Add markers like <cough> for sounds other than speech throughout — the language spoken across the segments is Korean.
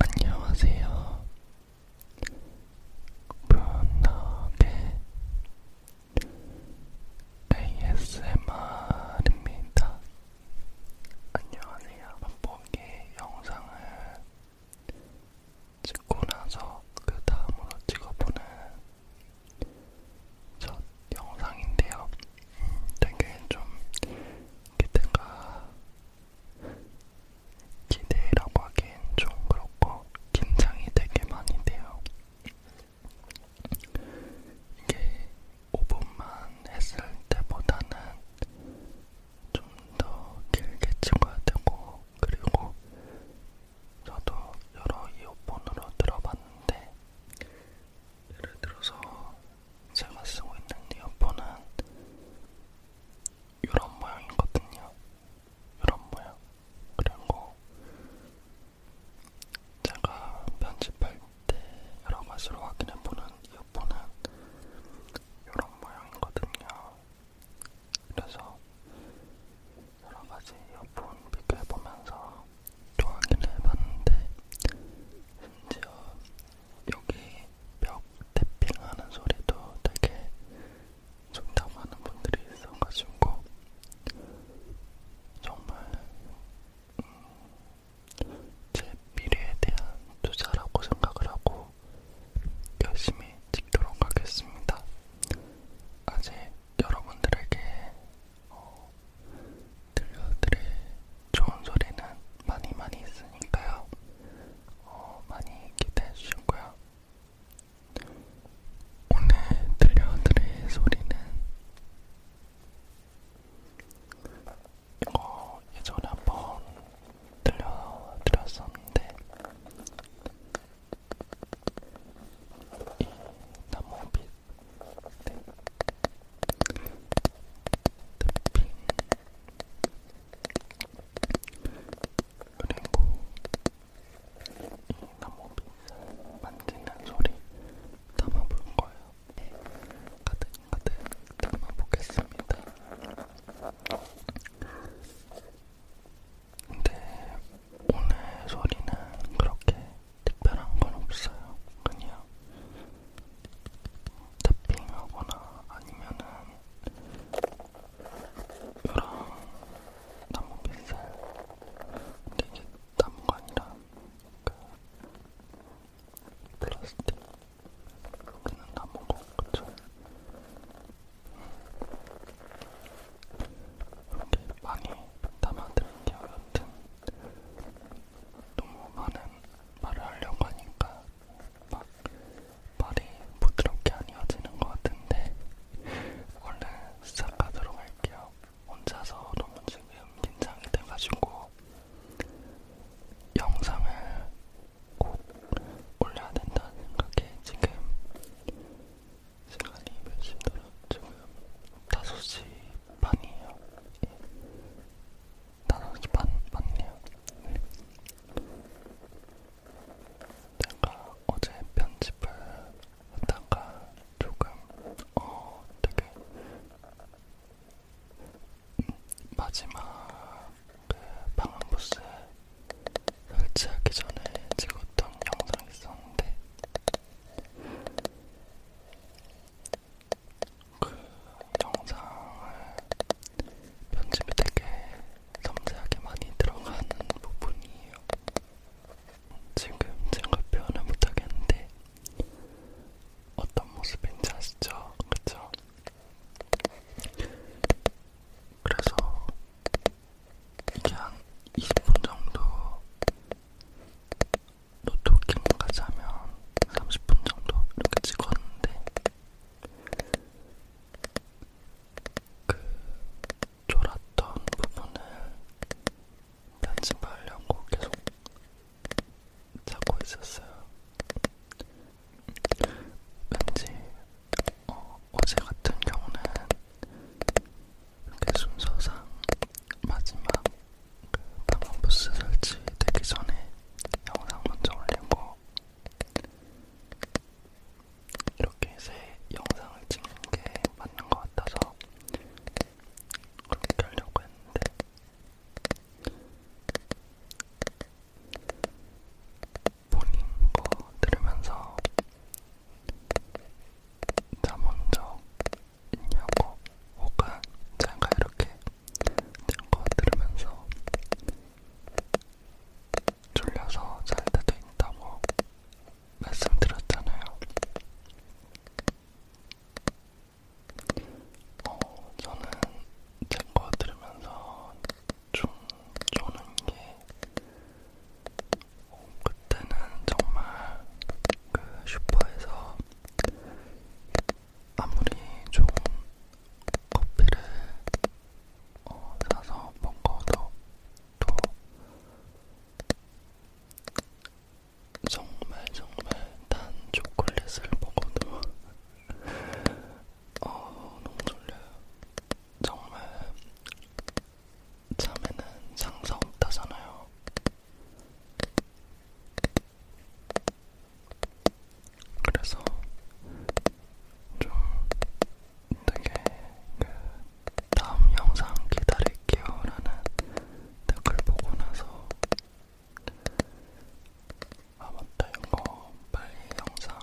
안녕하세요. 문학의 ASMR입니다. 안녕하세요. 맛보기 영상을 찍고 나서 그 다음으로 찍어보는 첫 영상인데요. 음, 되게 좀 기대가 기대라고 하기엔 좀 그렇고 긴장이 되게 많이 돼요. 이게 5분만 했을 때보다는 좀 더 길게 찍어야 되고 그리고 저도 여러 이어폰으로 들어봤는데 예를 들어서 제가 쓰고 있는 이어폰은 이런 모양이거든요. 이런 모양. 그리고 제가 편집할 때 여러 가지로 확인해보는 이어폰은 이런 모양이거든요. 그래서 여러 가지 이어폰 비교해보면서 또 확인해봤는데 심지어 여기 벽 태핑하는 소리도 되게 좋다고 하는 분들이 있어가지고 정말 음, 제 미래에 대한 투자라고 생각을 하고 열심히 찍도록 하겠습니다. 아직 여러분들에게 어, 들려드릴 좋은 소리는 많이 많이 있으니까요. 어, 많이 기대해 주셨고요. 오늘 들려드릴 소리는 이거 예전에 한번 들려드렸었는데 이 나무빛 네. 탭핑 그리고 이 나무빗을 만지는 소리 담아볼 거예요. 가득 가득 담아보겠습니다. 근데 오늘 소리는 그렇게 특별한 건 없어요. 그냥 탑핑하거나 아니면은 요랑 나무 빗살 근데 이게 나무가 아니라 그 플라스틱 그는 나무고 그쵸? 이렇게 많이 담아드릴게요 여튼 너무 많은 말을 하려고 하니까 막 발이 부드럽게 안 이어지는 것 같은데 원래 시작하도록 할게요. 혼자서 너무 지금 긴장이 돼가지고 영상을 꼭 올려야 된다는 생각에 지금 시간이 몇 시더라? 지금 5시 반이에요. 예. 5시 반 맞네요. 네. 제가 어제 편집을 하다가 조금 어 되게 음, 마지막 그 방음부스 설치하기 전에 찍었던 영상이 있었는데 그 영상을 편집이 되게 섬세하게 많이 들어가는 부분이에요. 지금 제가 표현을 못하겠는데 어떤 모습인지 아시죠? 그쵸? 그래서 이게 한 20분 정도 노트킹까지 하면 30분 정도 이렇게 찍었는데 그 졸았던 부분을 편집하려고 계속 찾고 있었어요. 왠지 어, 어제 같은 경우는 이렇게 순서상 마지막 그 방음부스 설치되기 전에 영상 먼저 올리고 이렇게 새 영상을 찍는 게 맞는 것 같아서 그렇게 하려고 했는데 본인 거 뭐 들으면서 나 먼저 있냐고 혹은 제가 이렇게 된 거 들으면서 졸려서 잘 때도 있다고 말씀드렸잖아요. 어, 저는 제 거 들으면서 좀 쪼는 게 어, 그때는 정말 그 슈퍼에서 아무리 좋은 커피를 어, 사서 먹어도 또 정말 정말 단 초콜릿을 먹어도 <laughs> 어, 너무 졸려요. 정말 잠에는 장사 없다잖아요. 그래서 좀 되게 그 다음 영상 기다릴게요 라는 댓글 보고 나서 아 맞다 이거 빨리 영상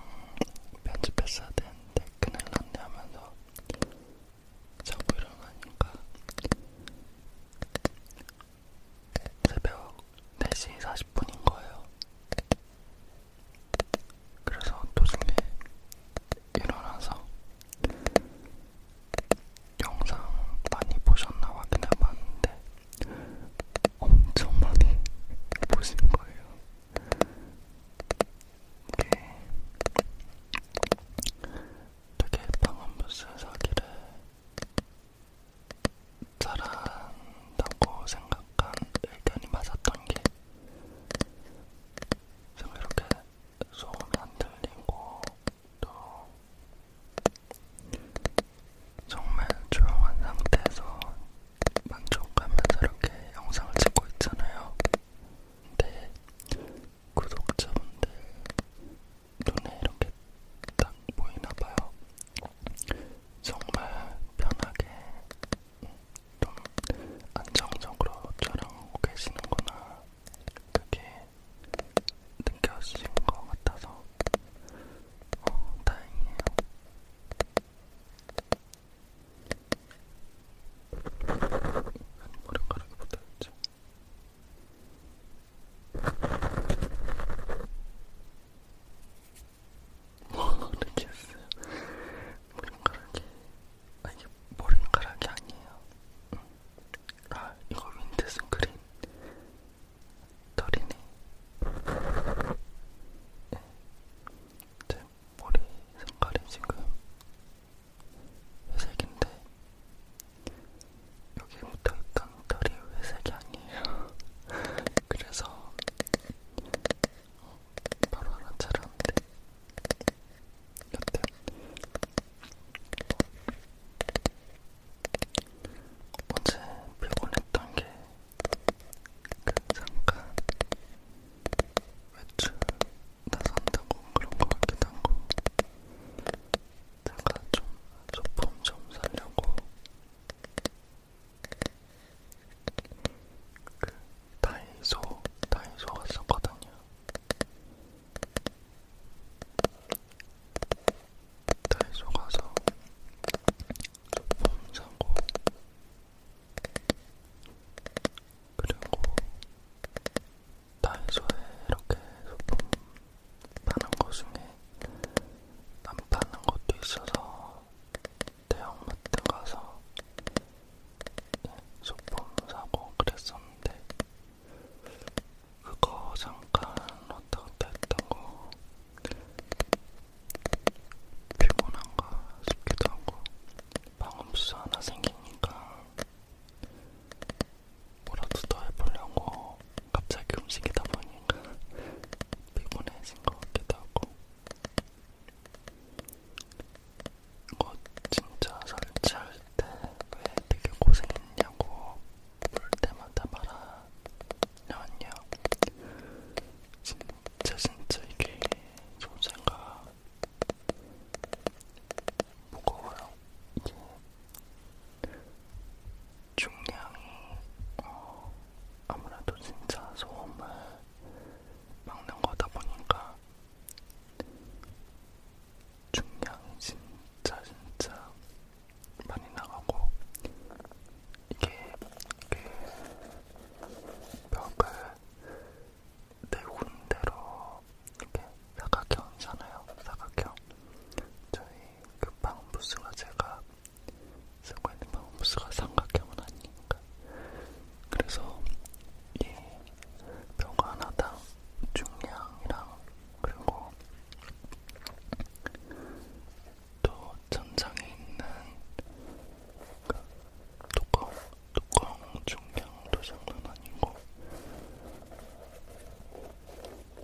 편집했어야 되는데 큰일났네 하면서 자고 일어나니까 새벽 4시 40분인 거예요. 그래서 도중에 일어나서 영상 많이 보셨나 확인해 봤는데 엄청 많이 <laughs> 보신 거예요. 이게 되게 방음부스 사기를 잘한다고 생각한 의견이 맞았던 게 지금 이렇게 소음이 안 들리고 또 정말 조용한 상태에서 만족하면서 이렇게 영상을 찍고 있잖아요. 근데 구독자분들 눈에 이렇게 딱 보이나봐요. 정말 편하게 좀 안정적으로 촬영하고 계시는구나 그게 느껴진 것 같아서 어, 다행이에요. 머리카락이 붙어있죠. 모르겠어요. 머리카락이, 아, 이게 머리카락이 아니에요. 응. 아, 이거 윈드 스크린 털이네. 네. 제 머리 색깔이 지금 회색인데, 여기 묻어있던 털이 회색이 아니에요. <laughs> 그래서 바로 알아차렸는데 여튼 어제 피곤했던 게 그 잠깐 외출 나선다고 그런 거 같기도 하고 제가 좀 소품 좀 사려고 그 다이소 다이소 갔었거든요. 다이소 가서 폼 사고 그리고 다이소에 이렇게 소품 파는 것 중에 안 파는 것도 있어서 대형마트 가서 네, 소품 사고 그랬었는데 그거 잠깐 왔다 갔다 했다고 피곤한가 싶기도 하고 방음수 하나 생기니까 뭐라도 더 해보려고 갑자기 움직이다 보니까 피곤해진 것 같기도 하고 이거 진짜 설치할 때 왜 되게 고생했냐고 볼 때마다 말하냐면요. 진짜 진짜 이게 소재가 무거워요. 이게 중량이 어, 아무래도 진짜 소음을 막는 거다 보니까 중량 진짜 진짜 많이 나가고 이게 그 벽을 네 군데로 이렇게 사각형이잖아요. 사각형. 저희 그방 부스가 제가 상관의 마법수가 삼각형은 아니니까. 그래서 이벽 하나당 중량이랑 그리고 또 천장에 있는 그 뚜껑, 뚜껑 중량도 장난 아니고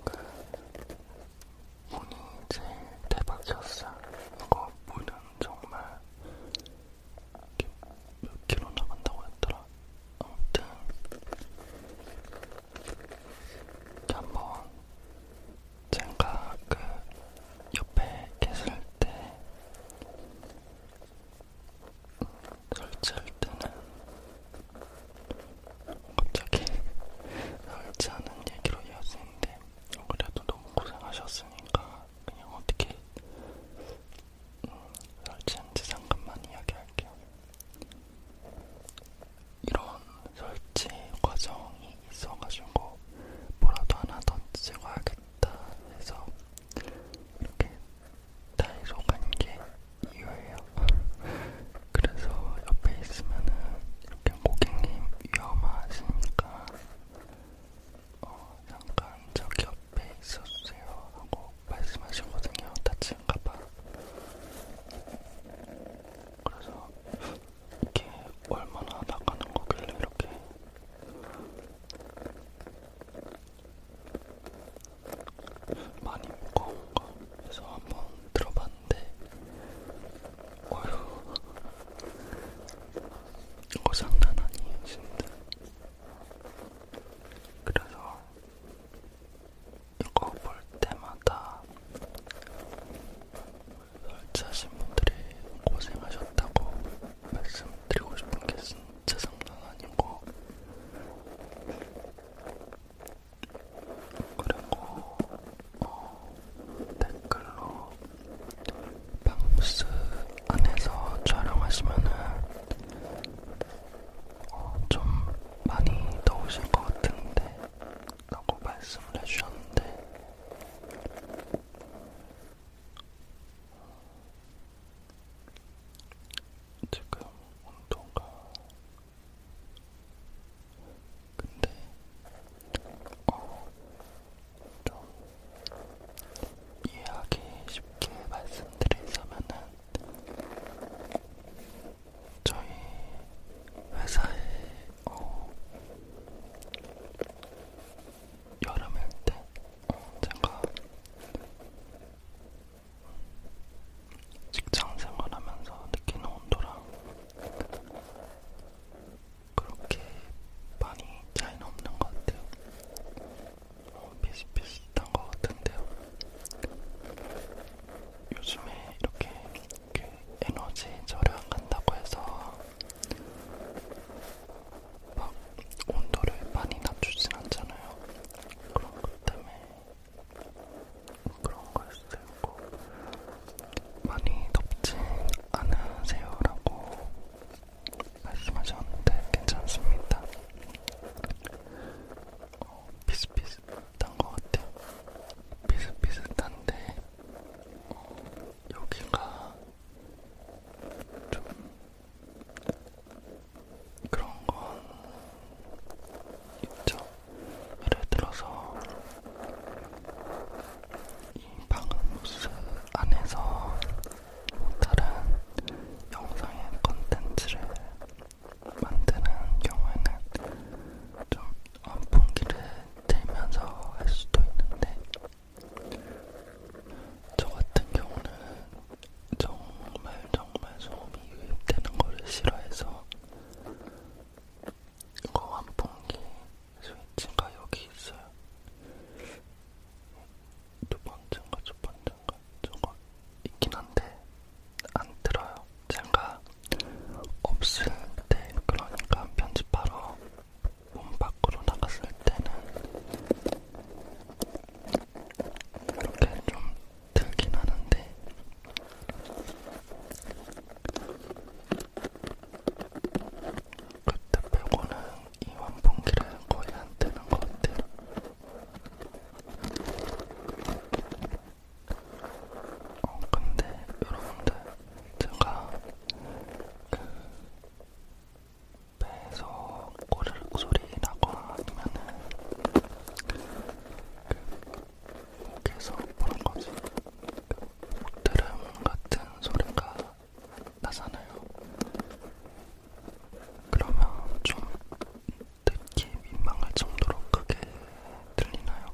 그 운이 제일 대박이었어. 이거 물은 정말 몇 킬로 나간다고 했더라. 아무튼 한번 제가 그 옆에 계실 때 설치할 때는 갑자기 <laughs> 설치하는 얘기로 이어지는데 그래도 너무 고생하셨으니까 그냥 어떻게 음, 설치한지 잠깐만 이야기할게요. 이런 설치 과정이 있어가지고 뭐라도 하나 더 찍어야겠다 해서 이렇게 다이소 간 게 이유예요. 그래서 옆에 있으면은 이렇게 고객님 위험하시니까 어, 잠깐 저기 옆에 있었어요 하고 말씀하시거든요. 다친가봐. 그래서 이게 얼마나 나가는 거길래 이렇게 많이 무거운가 해서 한번 들어봤는데 어휴 이거 장난 아니에요 진짜 그래서 이거 볼 때마다 설치하신 분들이 고생하셨다고 말씀드리고 싶은 게 진짜 장난 아니고 그리고 어, 댓글로 방스 안에서 촬영하시면은 어, 좀 많이 더우실 것 같은데 라고 말씀을 해주셨는데 지금 온도가 근데 어, 좀 이해하기 쉽게 말씀드리자면은 저희 회사에 어, 여름일 때 어, 제가 직장 생활하면서 느끼는 온도랑 그렇게 많이 차이는 없는 것 같아요. 어, 비슷비슷한 것 같은데요. 요즘에 이렇게, 이렇게 에너지 절약한다고 해서 막 온도를 많이 낮추진 않잖아요. 그런 것 때문에 그런 걸 쓰고 많이 덥진 않으세요라고 말씀하셨는데 괜찮습니다. 어, 비슷비슷한 것 같아요. 비슷비슷한데 어, 여기가 좀 그런 건 있죠. 예를 들어서 이 방음호스 안에서 다른 영상의 컨텐츠를 만드는 경우에는 좀 환풍기를 들면서 할 수도 있는데 저 같은 경우는 정말 정말 소음이 유입되는 거를 싫어해서 이거 환풍기 스위치가 여기 있어요. 두 번째인가 첫 번째인가 저거 있긴 한데 안 들어요. 제가 없을 때 그러니까 편집하러 문 밖으로 나갔을 때는 이렇게 좀 들긴 하는데 그때 빼고는 이 환풍기를 거의 안 뜨는 것 같아요. 어, 근데 여러분들, 제가 그 배에서 꼬르륵 소리라고 아니면은 그 목에서 보는 거지. 그 목드름 같은 소리가 나잖아요. 그러면 좀 듣기 민망할 정도로 크게 들리나요?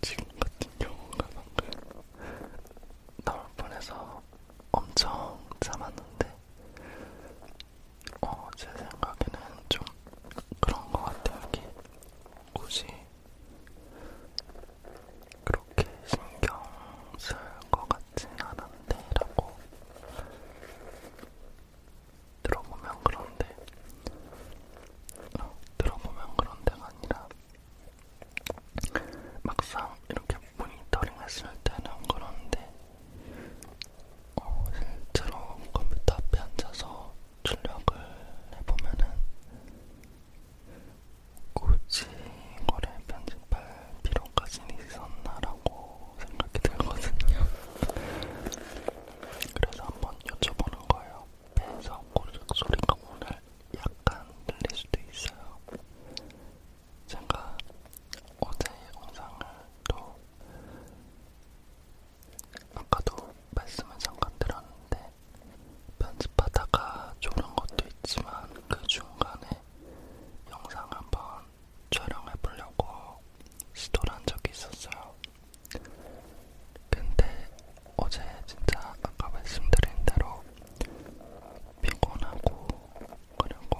지금 같은 경우가 방금 나올 뻔해서 엄청 참았는데 어, 제 생각에는 좀 그런 것 같아요. 이게 굳이 그렇게 신경 쓸 것 같진 않은데라고 들어보면 그런데 어, 들어보면 그런데가 아니라 막상 이렇게 모니터링 했을 때는 그런데 어, 실제로 컴퓨터 앞에 앉아서 출력을 해보면은 굳이 이거를 편집할 필요까지는 있었나라고 생각이 들거든요. 그래서 한번 여쭤보는 거예요. 배에서 고르륵 소리가 오늘 약간 들릴 수도 있어요. 제가 어제 영상을 또 아까도 말씀을 잠깐 들었는데 편집하다가 조른 것도 있지만 그 중간에 영상 한번 촬영해 보려고 시도를 한 적이 있었어요. 근데 어제 진짜 아까 말씀드린 대로 피곤하고 그리고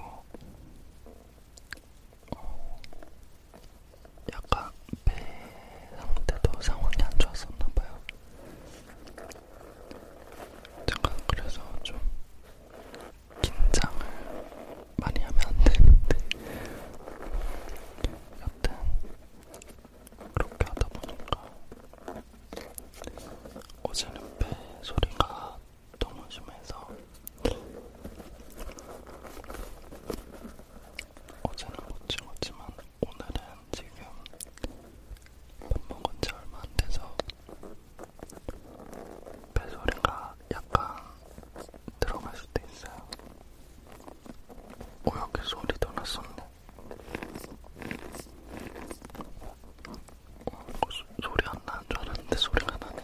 어, 약간 배 상태도 상황이 안 좋았었나봐요. 제가 그래서 좀 긴장을 많이 하면 안 되는데, 여튼 그렇게 하다 보니까 어제는 배 소리가 너무 심해서 어제는 못 찍었지만 오늘은 지금 밥 먹은 지 얼마 안 돼서 배소리가 약간 들어갈 수도 있어요. 오 어, 여기 소리도 났었네. 어, 소, 소리 안 나는 줄 알았는데 소리가 나네.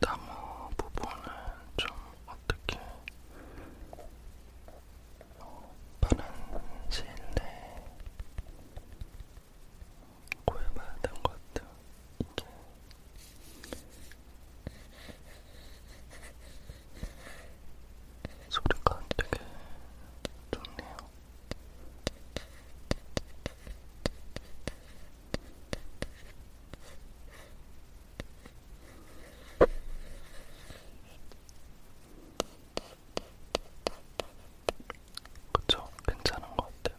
나무 부분은 좀 어떻게 어, 빠른 시일 내에 구해봐야 되는 것 같아요. 이게 소리가 되게 좋네요. 그쵸? 괜찮은 것 같아요.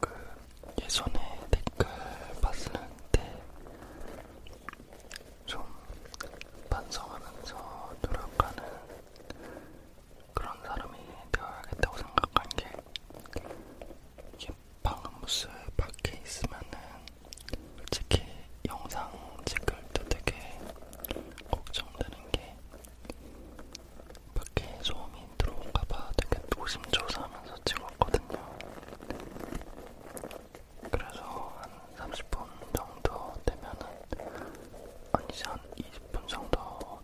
그 예전에 댓글 봤었는데 좀 반성하면서 노력하는 그런 사람이 되어야겠다고 생각한 게 이게 방음부스 밖에 있으면은 솔직히 영상 찍을 때 되게 걱정되는 있는 게 밖에 소음이 들어올까봐 되게 노심조사하면서 찍었거든요. 그래서 한 30분 정도 되면은 아니 이제 한 20분 정도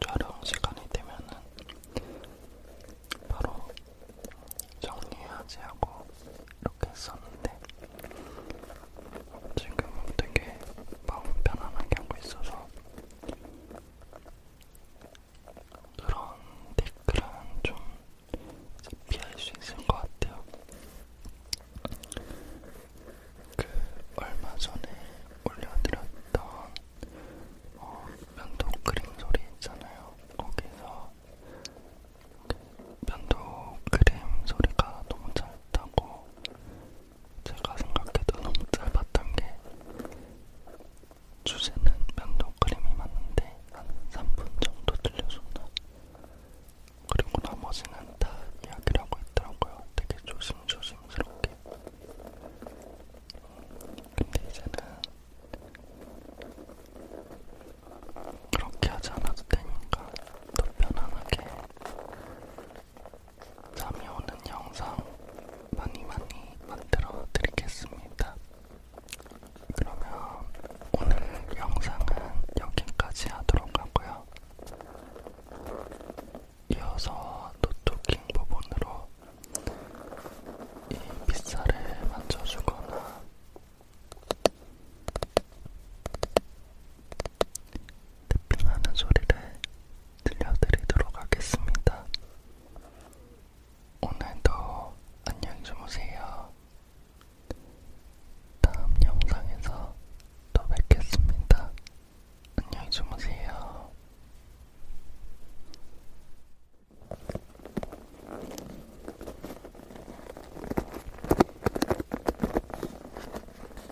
촬영 시간이 되면은 바로 정리하지 하고 이렇게 했었는데 지금은 되게 마음 편안하게 하고 있어서 그런 댓글은 좀 피할 수 있을 것 같아요. 그 얼마 전에 올려드렸던 어, 면도크림 소리 있잖아요. 거기서 그 면도 크림 소리가 너무 짧다고 제가 생각해도 너무 짧았던 게 주제는 면도 크림이 맞는데 한 3분 정도 들려줬나 그리고 나머지는 다 이야기를 하고 있더라고요. 되게 조심조심스럽게. 근데 이제는 그렇게 하지 않아도 되니까 더 편안하게 잠이 오는 영상 많이 많이 만들어 드리겠습니다. 그러면 오늘 영상은 여기까지 하도록 하고요. 이어서 노토킹 부분으로 이 빗살을 만져주거나 탭핑하는 소리를 들려드리도록 하겠습니다. 오늘도 안녕히 주무세요. 다음 영상에서 또 뵙겠습니다. 안녕히 주무세요.